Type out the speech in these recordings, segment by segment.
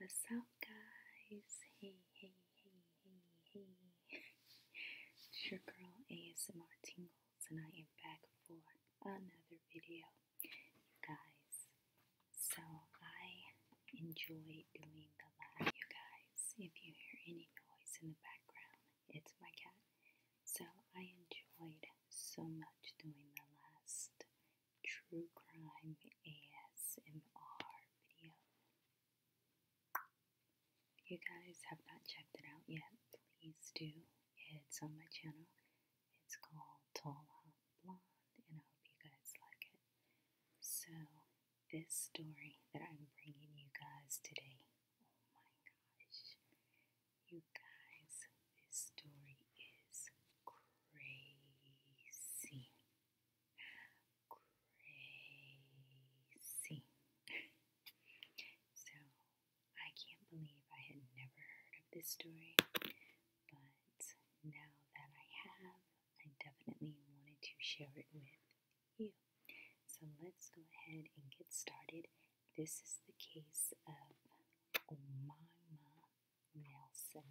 What's up, guys? Hey, hey, hey, hey, hey. it's your girl ASMR Tingles, and I am back for another video. You guys, so I enjoy doing the live. You guys, if you hear any noise in the background, it's my cat. So I enjoyed so much doing the last true crime ASMR video. you guys have not checked it out yet, please do. It's on my channel. It's called Tall Blonde, and I hope you guys like it. So, this story that I'm bringing you guys today Oh my gosh. You guys, this story is crazy. Crazy. so, I can't believe I had never heard of this story, but now that I have, I definitely wanted to share it with you. So, let's go ahead and get started this is the case of Omaima Nelson.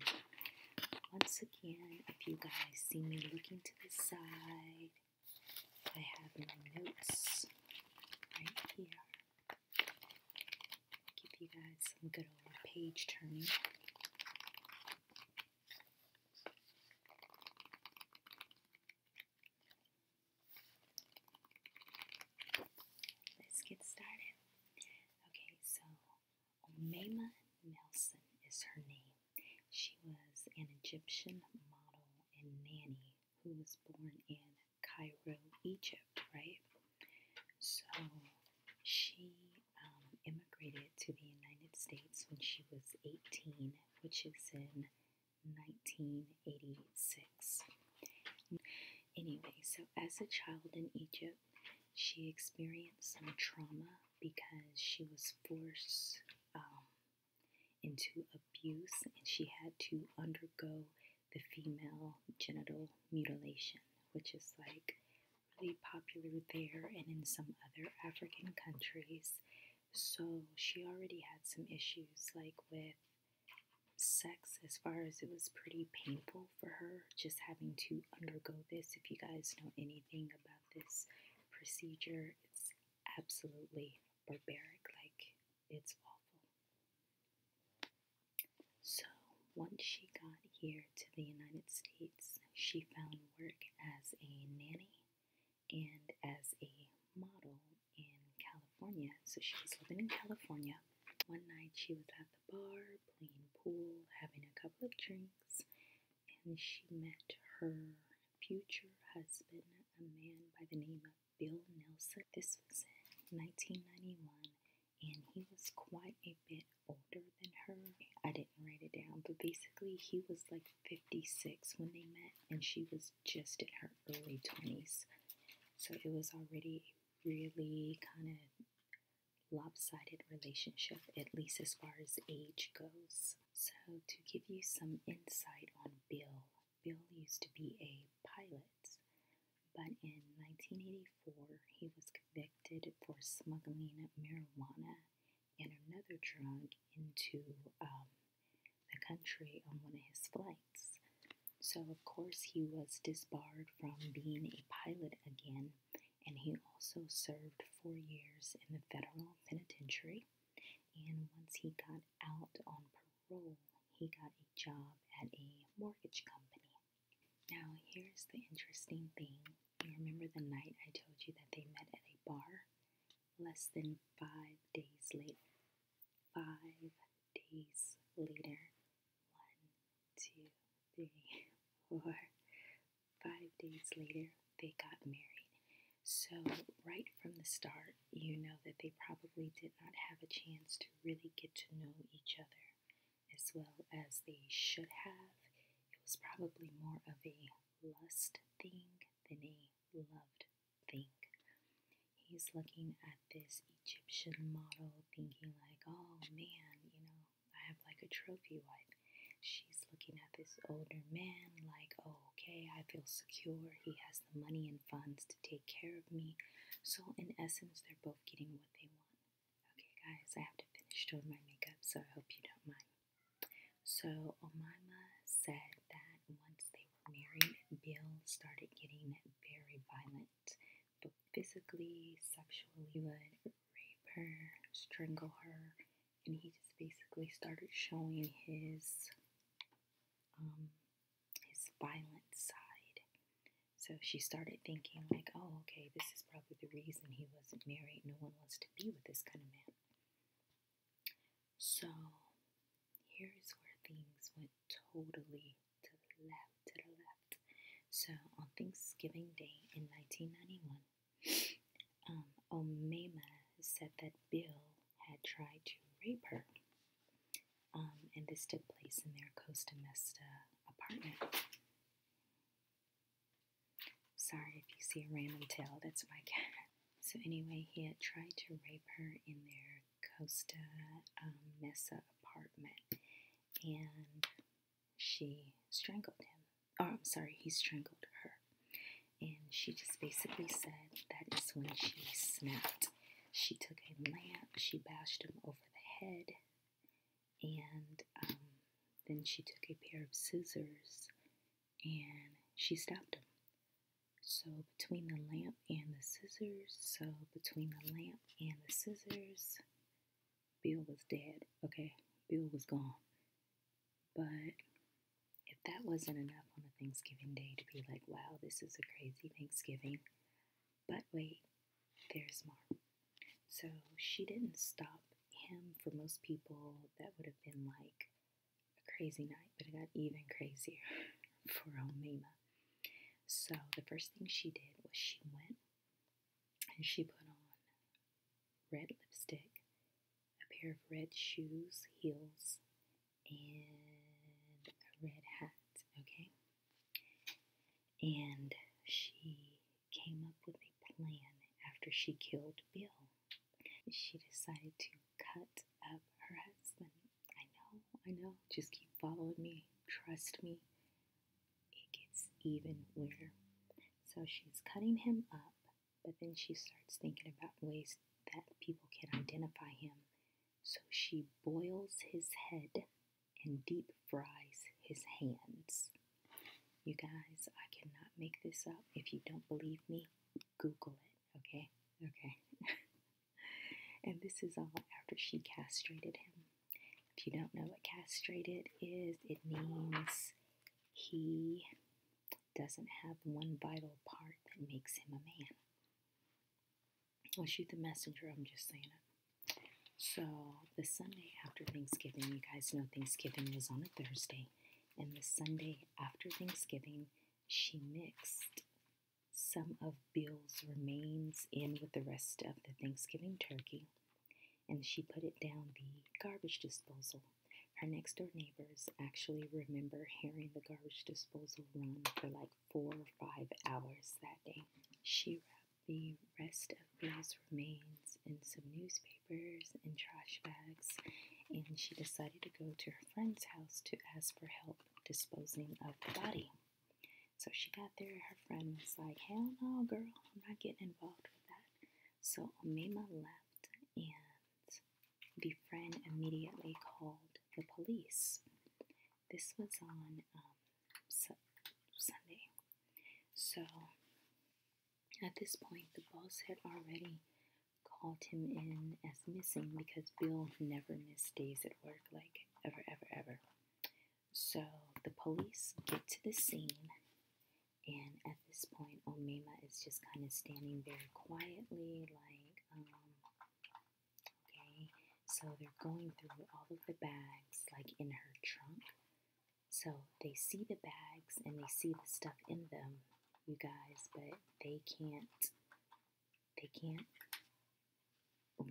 Once again, if you guys see me looking to the side, I have my notes right here. Give you guys some good old page turning. Let's get started. Okay, so Omema Nelson is her name. She was an Egyptian model and nanny who was born in Cairo, Egypt, right? So she um, immigrated to the United States when she was 18, which is in 1986. Anyway, so as a child in Egypt, she experienced some trauma because she was forced um, into abuse and she had to undergo the female genital mutilation, which is like really popular there and in some other African countries. So she already had some issues like with sex as far as it was pretty painful for her just having to undergo this. If you guys know anything about this procedure, it's absolutely barbaric. Like, it's awful. So, once she got here to the United States, she found work as a nanny and as a model in California. So she was living in California. One night she was at the bar playing pool, having a couple of drinks, and she met her future husband, a man by the name of Bill Nelson. This was in 1991, and he was quite a bit older than her. I didn't write it down, but basically, he was like 56 when they met, and she was just in her early 20s. So it was already really kind of lopsided relationship, at least as far as age goes. So, to give you some insight on Bill, Bill used to be a pilot, but in 1984 he was convicted for smuggling marijuana and another drug into um, the country on one of his flights. So, of course, he was disbarred from being a pilot again, and he also served four years in the federal penitentiary. And once he got out on parole, he got a job at a mortgage company. Now, here's the interesting thing. You remember the night I told you that they met at a bar? Less than five days later, five days later. One, two, three, four, five days later, they got married. So, right from the start, you know that they probably did not have a chance to really get to know each other as well as they should have. It was probably more of a lust thing than a loved think. He's looking at this Egyptian model, thinking, like, oh man, you know, I have like a trophy wife. She's looking at this older man, like, oh, okay, I feel secure. He has the money and funds to take care of me. So, in essence, they're both getting what they want. Okay, guys, I have to finish doing my makeup, so I hope you don't mind. So, Omaima said, that once they were married, Bill started getting very violent, both physically, sexually, he would rape her, strangle her, and he just basically started showing his um, his violent side. So she started thinking like, oh, okay, this is probably the reason he wasn't married. No one wants to be with this kind of man. So here's where things went totally to the left, to the left. So on Thanksgiving Day in 1991, um, Omema said that Bill had tried to rape her. Um, and this took place in their Costa Mesta apartment. Sorry if you see a random tail, that's my cat. So, anyway, he had tried to rape her in their Costa um, Mesa apartment and she strangled him. Oh, I'm sorry, he strangled her. And she just basically said that is when she snapped. She took a lamp, she bashed him over the head, and um, then she took a pair of scissors and she stabbed him. So between the lamp and the scissors. So between the lamp and the scissors. Bill was dead. Okay, Bill was gone. But if that wasn't enough on a Thanksgiving day to be like, wow, this is a crazy Thanksgiving. But wait, there's more. So she didn't stop him. For most people, that would have been like, a crazy night, but it got even crazier for old So the first thing she did was she went and she put on red lipstick, a pair of red shoes, heels, and a red hat, okay? And she came up with a plan after she killed Bill. She decided to cut up her husband. I know, I know. Just keep following me. Trust me. It gets even weirder. So she's cutting him up, but then she starts thinking about ways that people can identify him. So she boils his head and deep fries his hands. You guys, I cannot make this up. If you don't believe me, Google it, okay? Okay. and this is all after she castrated him. If you don't know what castrated is, it means he doesn't have one vital part that makes him a man. I'll shoot the messenger, I'm just saying So, the Sunday after Thanksgiving, you guys know Thanksgiving was on a Thursday, and the Sunday after Thanksgiving, she mixed some of Bill's remains in with the rest of the Thanksgiving turkey, and she put it down the garbage disposal. Her next door neighbors actually remember hearing the garbage disposal run for like four or five hours that day. She wrapped the rest of Bill's remains in some newspapers and trash bags, and she decided to go to her friend's house to ask for help disposing of the body. So she got there, her friend was like, Hell no, girl, I'm not getting involved with that. So Omema left, and the friend immediately called the police. This was on um, Sunday. So at this point, the boss had already called him in as missing because Bill never missed days at work, like ever, ever, ever. So the police get to the scene, and at this point, Omema is just kind of standing very quietly, like, um, okay. So they're going through all of the bags, like in her trunk. So they see the bags and they see the stuff in them, you guys, but they can't they can't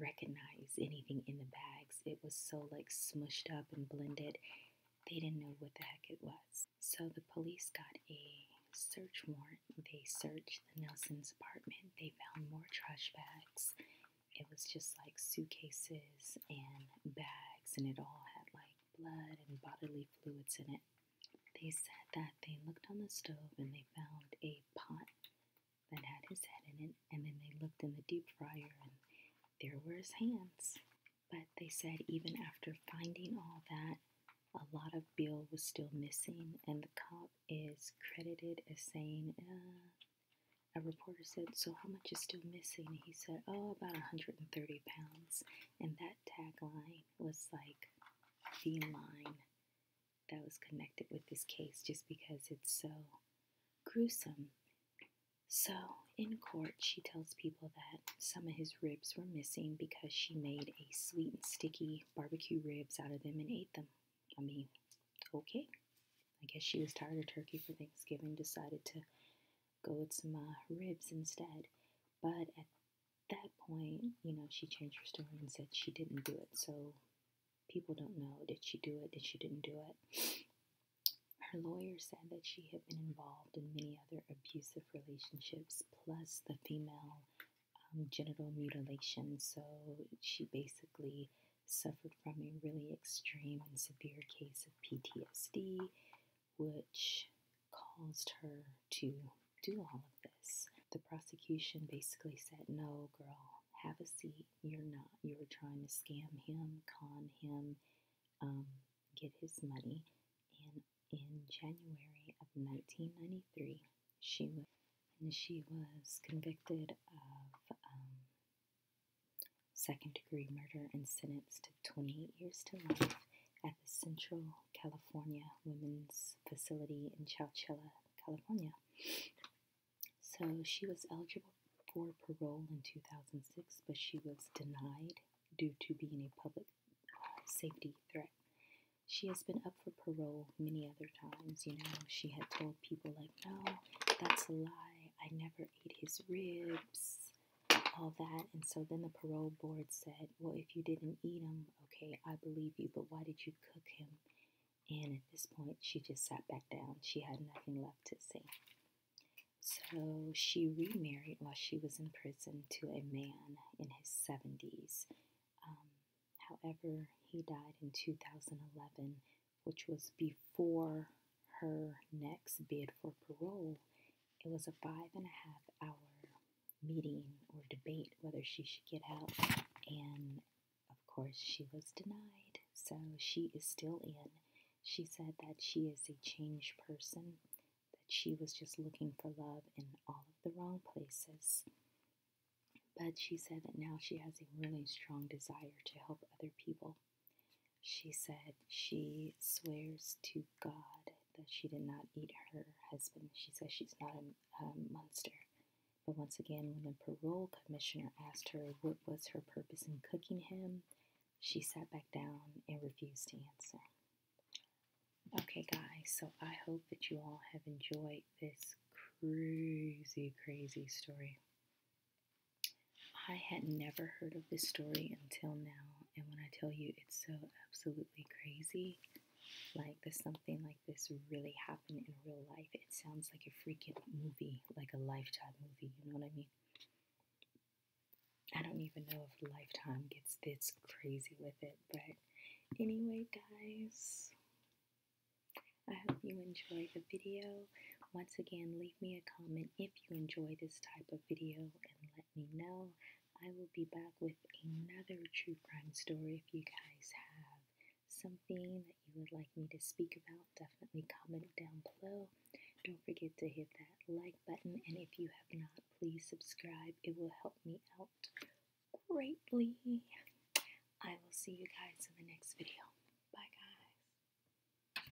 recognize anything in the bags. It was so like smushed up and blended. They didn't know what the heck it was. So the police got a search warrant. They searched the Nelson's apartment. They found more trash bags. It was just like suitcases and bags, and it all had like blood and bodily fluids in it. They said that they looked on the stove and they found a pot that had his head in it, and then they looked in the deep fryer and there were his hands. But they said even after finding all that, a lot of Bill was still missing, and the cop is credited as saying, uh, a reporter said, So, how much is still missing? he said, Oh, about 130 pounds. And that tagline was like feline that was connected with this case just because it's so gruesome. So, in court, she tells people that some of his ribs were missing because she made a sweet and sticky barbecue ribs out of them and ate them. I mean, okay. I guess she was tired of turkey for Thanksgiving, decided to go with some uh, ribs instead. But that point, you know, she changed her story and said she didn't do it. So people don't know did she do it, did she didn't do it. Her lawyer said that she had been involved in many other abusive relationships, plus the female um, genital mutilation. So she basically suffered from a really extreme and severe case of PTSD, which caused her to do all of this. The prosecution basically said, No, girl, have a seat. You're not. You were trying to scam him, con him, um, get his money. And in January of 1993, she was, and she was convicted of um, second degree murder and sentenced to 28 years to life at the Central California Women's Facility in Chowchilla, California. So she was eligible for parole in 2006, but she was denied due to being a public uh, safety threat. She has been up for parole many other times. You know, she had told people, like, no, that's a lie. I never ate his ribs, all that. And so then the parole board said, well, if you didn't eat him." Okay, I believe you, but why did you cook him? And at this point, she just sat back down. She had nothing left to say. So she remarried while she was in prison to a man in his 70s. Um, however, he died in 2011, which was before her next bid for parole. It was a five and a half hour meeting or debate whether she should get out, and of course, she was denied. So she is still in. She said that she is a changed person, that she was just looking for love in all of the wrong places. But she said that now she has a really strong desire to help other people. She said she swears to God that she did not eat her husband. She says she's not a, monster. But once again, when the parole commissioner asked her what was her purpose in cooking him, she sat back down and refused to answer. Okay, guys, so I hope that you all have enjoyed this crazy, crazy story. I had never heard of this story until now, and when I tell you it's so absolutely crazy, like, does something like this really happen in real life? It sounds like a freaking movie, like a lifetime movie, you know what I mean? I don't even know if Lifetime gets this crazy with it, but anyway, guys, I hope you enjoyed the video. Once again, leave me a comment if you enjoy this type of video and let let me know. I will be back with another true crime story if you guys have something that you would like me to speak about, definitely comment down below. Don't forget to hit that like button, and if you have not, please subscribe. It will help me out greatly. I will see you guys in the next video. Bye, guys.